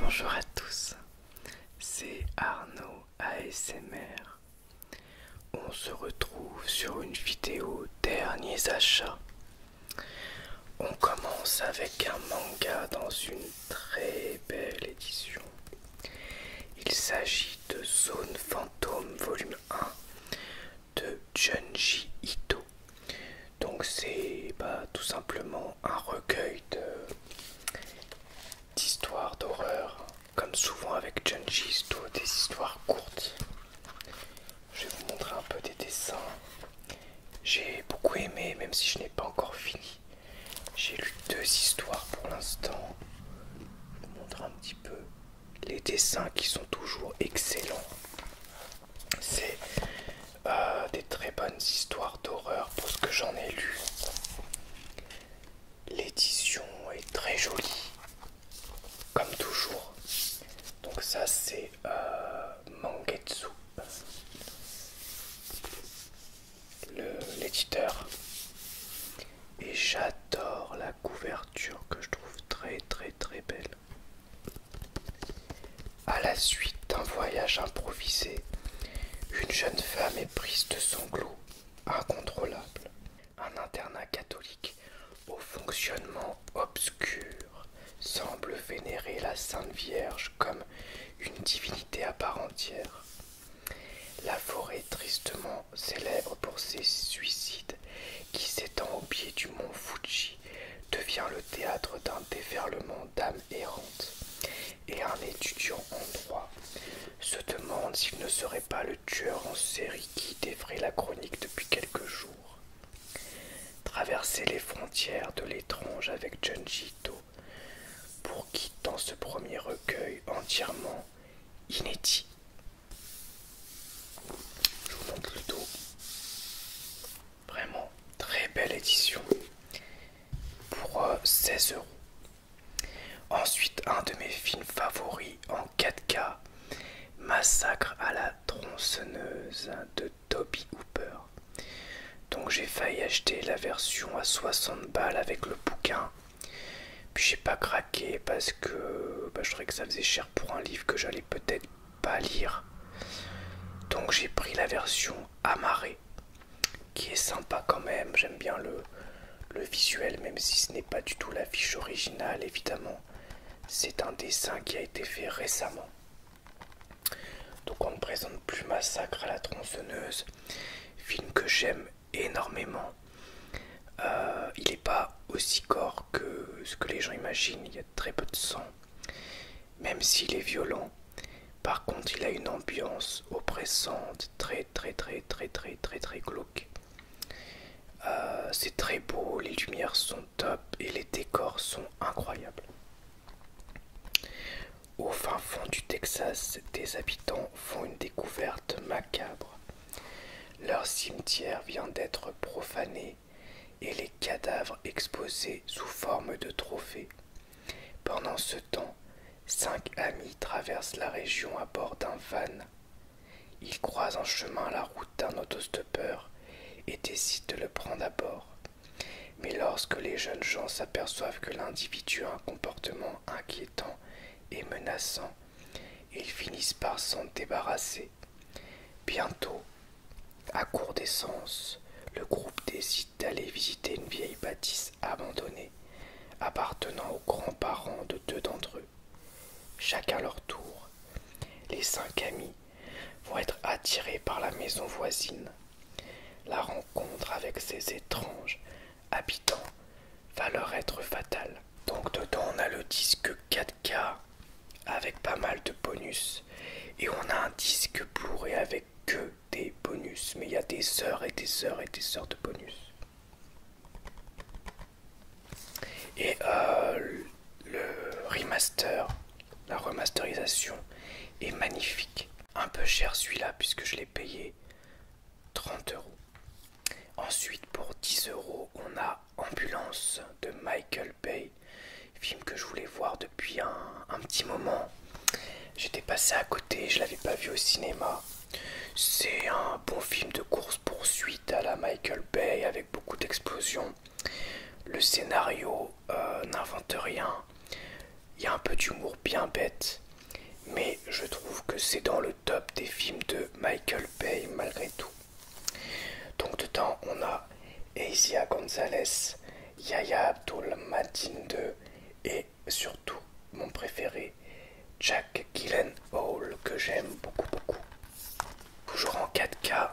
Bonjour à tous, c'est Arnaud ASMR. On se retrouve sur une vidéo derniers achats. On commence avec un manga dans une très belle édition il s'agit de Zone Fantôme volume 1 de Junji Ito. Donc c'est bah, tout simplement un recueil d'histoires d'horreur, comme souvent avec Junji Ito, des histoires courtes. Je vais vous montrer un peu des dessins. J'ai beaucoup aimé, même si je n'ai pas encore fini. J'ai lu deux histoires pour l'instant. Je vous montrer un petit peu les dessins qui sont toujours excellents. C'est euh, des très bonnes histoires d'horreur pour ce que j'en ai lu. L'édition est très jolie, comme toujours. Donc ça c'est euh, Mangetsu, l'éditeur et j'adore la couverture que je trouve très très très belle. À la suite d'un voyage improvisé, une jeune femme est prise de sanglots incontrôlable. Un internat catholique au fonctionnement obscur semble vénérer la Sainte Vierge comme une divinité à part entière. La forêt tristement célèbre pour ses suicides qui s'étend au pied du mont Fuji devient le théâtre d'un déferlement d'âmes errantes et un étudiant en droit se demande s'il ne serait pas le tueur en série qui devrait la chronique depuis quelques jours. Traverser les frontières de l'étrange avec Junji Ito pour qui, ce premier recueil entièrement inédit, je vous montre le dos. Vraiment très belle édition pour 16 euh, euros. Ensuite, un de mes films favoris en 4K, Massacre à la tronçonneuse de Toby Hooper. Donc j'ai failli acheter la version à 60 balles avec le bouquin puis j'ai pas craqué parce que bah, je trouvais que ça faisait cher pour un livre que j'allais peut-être pas lire. Donc j'ai pris la version amarrée qui est sympa quand même. J'aime bien le, le visuel, même si ce n'est pas du tout l'affiche originale évidemment. C'est un dessin qui a été fait récemment. Donc on ne présente plus Massacre à la tronçonneuse, film que j'aime énormément. Euh, il n'est pas aussi gore que ce que les gens imaginent, il y a très peu de sang. Même s'il est violent, par contre il a une ambiance oppressante, très très très très très très très glauque. Euh, c'est très beau, les lumières sont top et les décors sont incroyables. Au fin fond du Texas, des habitants font une découverte macabre. Leur cimetière vient d'être profané et les cadavres exposés sous forme de trophées. Pendant ce temps, cinq amis traversent la région à bord d'un van. Ils croisent en chemin la route d'un autostoppeur et décident de le prendre à bord. Mais lorsque les jeunes gens s'aperçoivent que l'individu a un comportement inquiétant et menaçant, ils finissent par s'en débarrasser. Bientôt, à court d'essence, le groupe décide d'aller visiter une vieille bâtisse abandonnée, appartenant aux grands-parents de deux d'entre eux. Chacun à leur tour, les cinq amis vont être attirés par la maison voisine. La rencontre avec ces étranges habitants va leur être fatal Donc dedans on a le disque 4K avec pas mal de bonus et on a un disque pour et avec que des bonus mais il y a des heures et des heures et des heures de bonus. Et euh, le remaster, la remasterisation est magnifique. Un peu cher celui-là puisque je l'ai payé 30 euros. Ensuite, pour 10 euros, on a Ambulance de Michael Bay, film que je voulais voir depuis un, petit moment. J'étais passé à côté, je l'avais pas vu au cinéma. C'est un bon film de course-poursuite à la Michael Bay avec beaucoup d'explosions. Le scénario euh, n'invente rien. Il y a un peu d'humour bien bête, mais je trouve que c'est dans le top des films de Michael Bay malgré tout. Donc dedans on a Asia Gonzalez, Yaya Abdul II et surtout mon préféré Jack Gillen Hall que j'aime beaucoup beaucoup. Toujours en 4K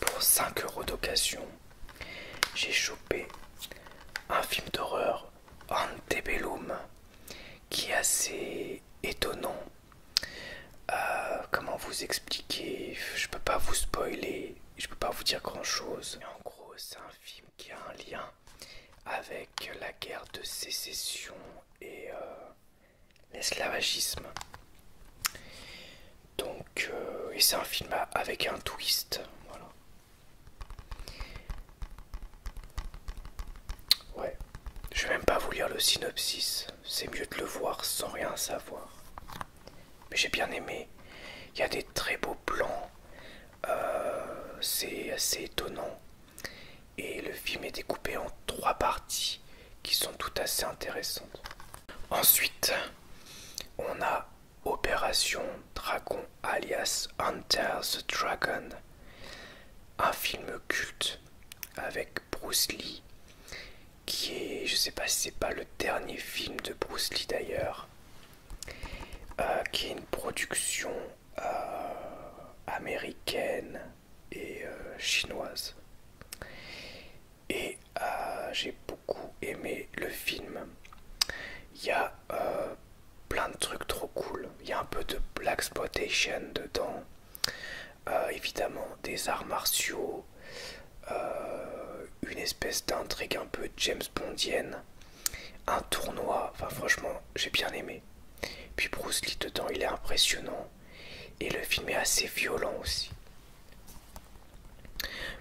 pour 5 euros d'occasion, j'ai chopé un film d'horreur Antebellum qui est assez étonnant. Euh, comment vous expliquer Je peux pas vous spoiler, je peux pas vous dire grand chose. En gros, c'est un film qui a un lien avec la guerre de sécession et euh, l'esclavagisme. Donc, euh, et c'est un film avec un twist. Voilà. Ouais, je vais même pas vous lire le synopsis, c'est mieux de le voir sans rien savoir. Mais j'ai bien aimé, il y a des très beaux plans, euh, c'est assez étonnant. Et le film est découpé en trois parties qui sont toutes assez intéressantes. Ensuite, on a Opération Dragon alias Hunter the Dragon un film culte avec Bruce Lee qui est je sais pas si c'est pas le dernier film de Bruce Lee d'ailleurs euh, qui est une production euh, américaine et euh, chinoise et j'ai beaucoup aimé le film il y a plein de trucs trop cool. Il y a un peu de Black Exploitation dedans. Euh, évidemment, des arts martiaux. Euh, une espèce d'intrigue un peu James Bondienne. Un tournoi. Enfin, franchement, j'ai bien aimé. Puis Bruce Lee dedans, il est impressionnant. Et le film est assez violent aussi.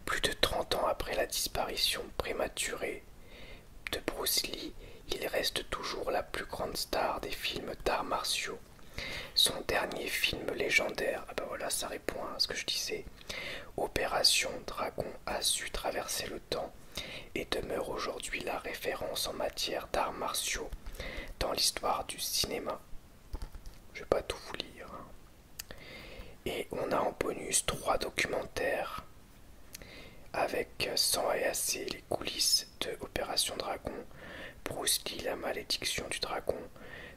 Plus de 30 ans après la disparition prématurée de Bruce Lee, il reste toujours la plus grande star des films d'arts martiaux. Son dernier film légendaire, ah ben voilà, ça répond à ce que je disais. Opération Dragon a su traverser le temps et demeure aujourd'hui la référence en matière d'arts martiaux dans l'histoire du cinéma. Je vais pas tout vous lire. Hein. Et on a en bonus trois documentaires avec sang et les coulisses de Opération Dragon, Bruce Lee, la malédiction du dragon,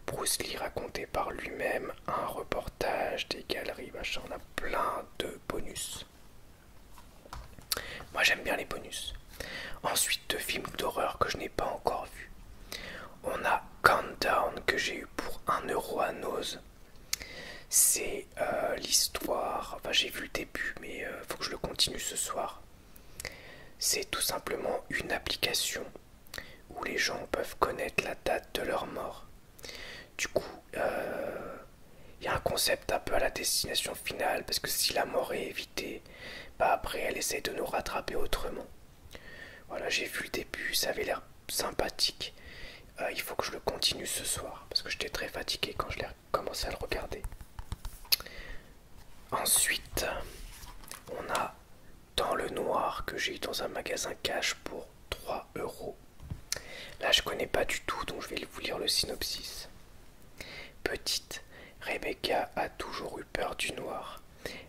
Bruce Lee raconté par lui-même, un reportage des galeries, machin, on a plein de bonus. Moi j'aime bien les bonus. Ensuite, deux films d'horreur que je n'ai pas encore vus. On a Countdown que j'ai eu pour un euro à Nose. C'est euh, l'histoire, enfin j'ai vu le début mais il euh, faut que je le continue ce soir. C'est tout simplement une application où les gens peuvent connaître la date de leur mort. Du coup, il euh, y a un concept un peu à la destination finale parce que si la mort est évitée, bah après elle essaie de nous rattraper autrement. Voilà, j'ai vu le début, ça avait l'air sympathique. il faut que je le continue ce soir parce que j'étais très fatigué quand je l'ai regardé commencer à le regarder. Ensuite, on a Dans le Noir que j'ai eu dans un magasin cash pour 3 euros. Là, je connais pas du tout, donc je vais vous lire le synopsis. Petite, Rebecca a toujours eu peur du noir,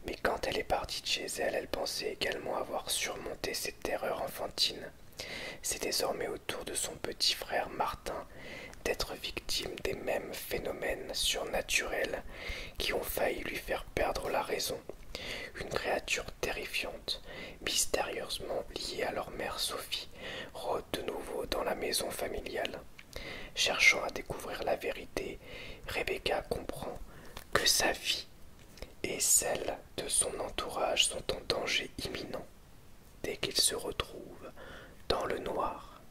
mais quand elle est partie de chez elle, elle pensait également avoir surmonté cette terreurs enfantine c'est désormais au tour de son petit frère Martin d'être victime des mêmes phénomènes surnaturels qui ont failli lui faire perdre la raison. Une créature terrifiante, mystérieusement liée à leur mère Sophie, rôde de nouveau dans la maison familiale. Cherchant à découvrir la vérité, Rebecca comprend que sa vie et celle de son entourage sont en danger imminent dès qu'il se retrouve dans le noir.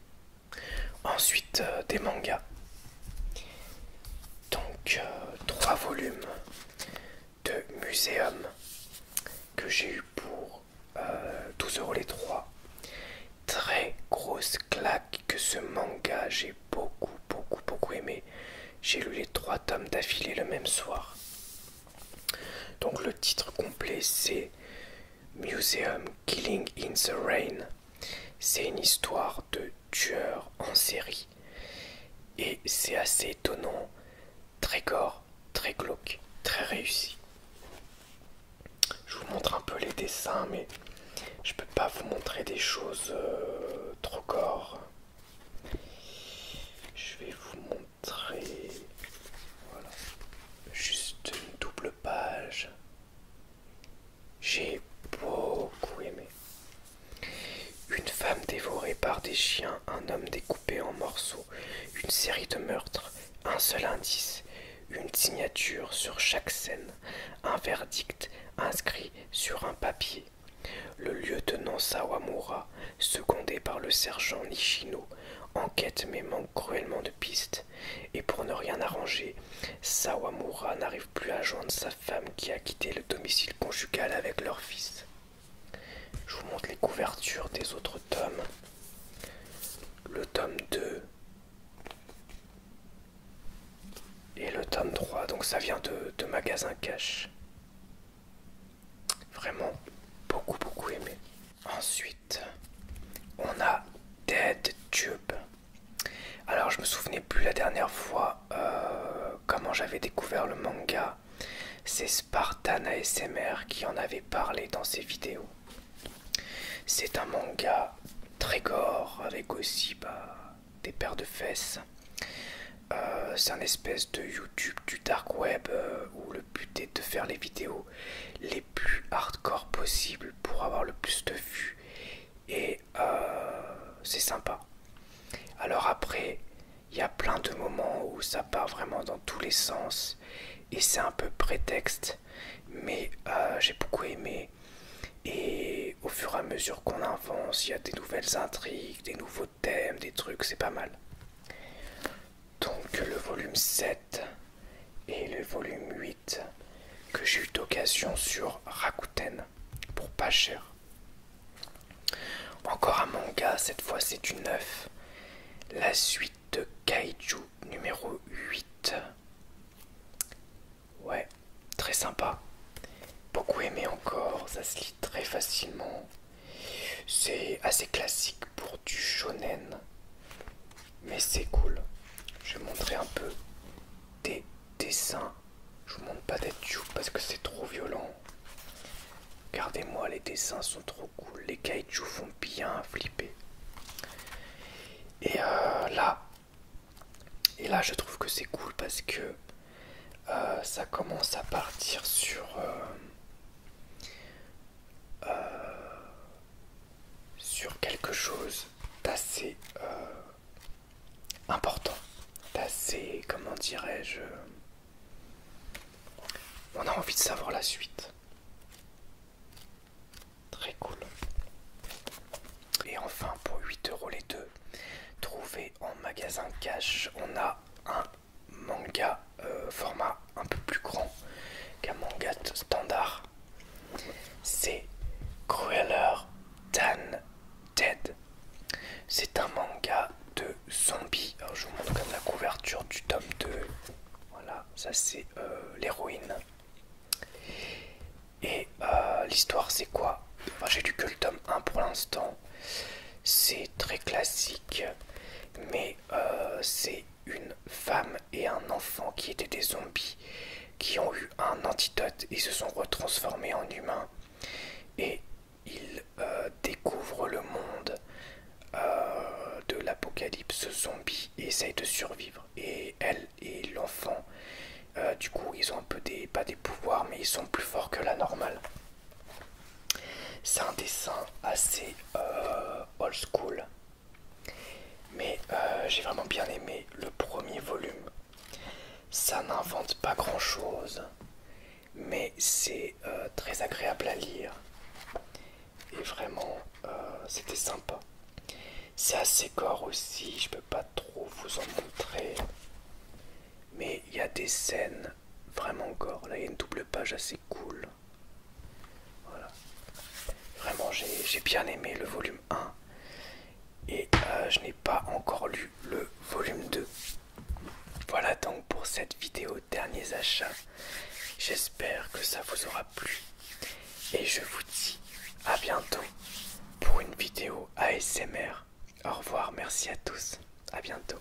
Ensuite, euh, des mangas. Donc, euh, trois volumes de Muséum que j'ai eu pour 12 euh, euros les trois. Très grosse claque que ce manga, j'ai beaucoup, beaucoup, beaucoup aimé. J'ai lu les trois tomes d'affilée le même soir. Donc le titre complet c'est Museum Killing in the Rain. C'est une histoire de tueur en série. Et c'est assez étonnant, très gore, très glauque, très réussi. Je vous montre un peu les dessins, mais je peux pas vous montrer des choses euh, trop gore. Je vais vous montrer très... Voilà. Juste une double page. J'ai beaucoup aimé. Une femme dévorée par des chiens, un homme découpé en morceaux, une série de meurtres, un seul indice, une signature sur chaque scène, un verdict inscrit sur un papier. Le lieutenant Sawamura secondé par le sergent Nishino, enquête mais manque cruellement de pistes, et pour ne rien arranger, Sawamura n'arrive plus à joindre sa femme qui a quitté le domicile conjugal avec leur fils. Je vous montre les couvertures des autres tomes. Le tome 2 et le tome 3, donc ça vient de, de Magasin Cash. Vraiment beaucoup beaucoup aimé. Ensuite, on a Dead Tube. Alors je me souvenais plus la dernière fois euh, comment j'avais découvert le manga. C'est Spartan ASMR qui en avait parlé dans ses vidéos. C'est un manga très gore avec aussi bah, des paires de fesses. Euh, c'est un espèce de YouTube du dark web euh, où le le but est de faire les vidéos les plus hardcore possibles pour avoir le plus de vues et euh, c'est sympa. Alors après, il y a plein de moments où ça part vraiment dans tous les sens et c'est un peu prétexte, mais euh, j'ai beaucoup aimé. Et au fur et à mesure qu'on avance, il y a des nouvelles intrigues, des nouveaux thèmes, des trucs, c'est pas mal donc le volume 7 et le volume 8 que j'ai eu d'occasion sur Rakuten pour pas cher. Encore un manga, cette fois c'est du neuf. La suite de Kaiju numéro 8. Ouais, très sympa. Beaucoup aimé encore, ça se lit très facilement. C'est assez classique pour du shonen, mais c'est cool. Je vais montrer un peu des dessins. Je vous montre pas des tubes parce que c'est trop violent. Regardez-moi, les dessins sont trop cool. Les kaiju font bien flipper. Et euh, là, et là, je trouve que c'est cool parce que euh, ça commence à partir sur euh, euh, sur quelque chose d'assez euh, important, d'assez, comment dirais-je, on a envie de savoir la suite. Très cool. Et enfin, pour 8 euros les deux, trouvés en magasin cash, on a un manga euh, format un peu plus grand qu'un manga standard, c'est Crueller Dan Dead. C'est un manga de zombies. je vous montre même la couverture du tome 2. Voilà, ça c'est euh, l'héroïne. Et euh, l'histoire c'est quoi J'ai lu que le tome 1 pour l'instant. C'est très classique, mais euh, c'est une femme et un enfant qui étaient des zombies qui ont eu un antidote et se sont retransformés en humains et ils euh, découvrent le monde euh, de l'apocalypse zombie et essayent de survivre et elle et l'enfant du coup ils ont un peu pas des pouvoirs mais ils sont plus forts que la normale c'est un dessin assez euh, old school, mais euh, j'ai vraiment bien aimé le premier volume. Ça n'invente pas grand chose, mais c'est euh, très agréable à lire. Et vraiment, c'était sympa. C'est assez gore aussi, je ne peux pas trop vous en montrer. Mais il y a des scènes vraiment encore. Là, il y a une double page assez cool. Voilà. Vraiment, j'ai bien aimé le volume 1. Et euh, je n'ai pas encore lu le volume 2. Voilà donc pour cette vidéo derniers achats. J'espère que ça vous aura plu. Et je vous dis à bientôt pour une vidéo ASMR. Au revoir, merci à tous. À bientôt.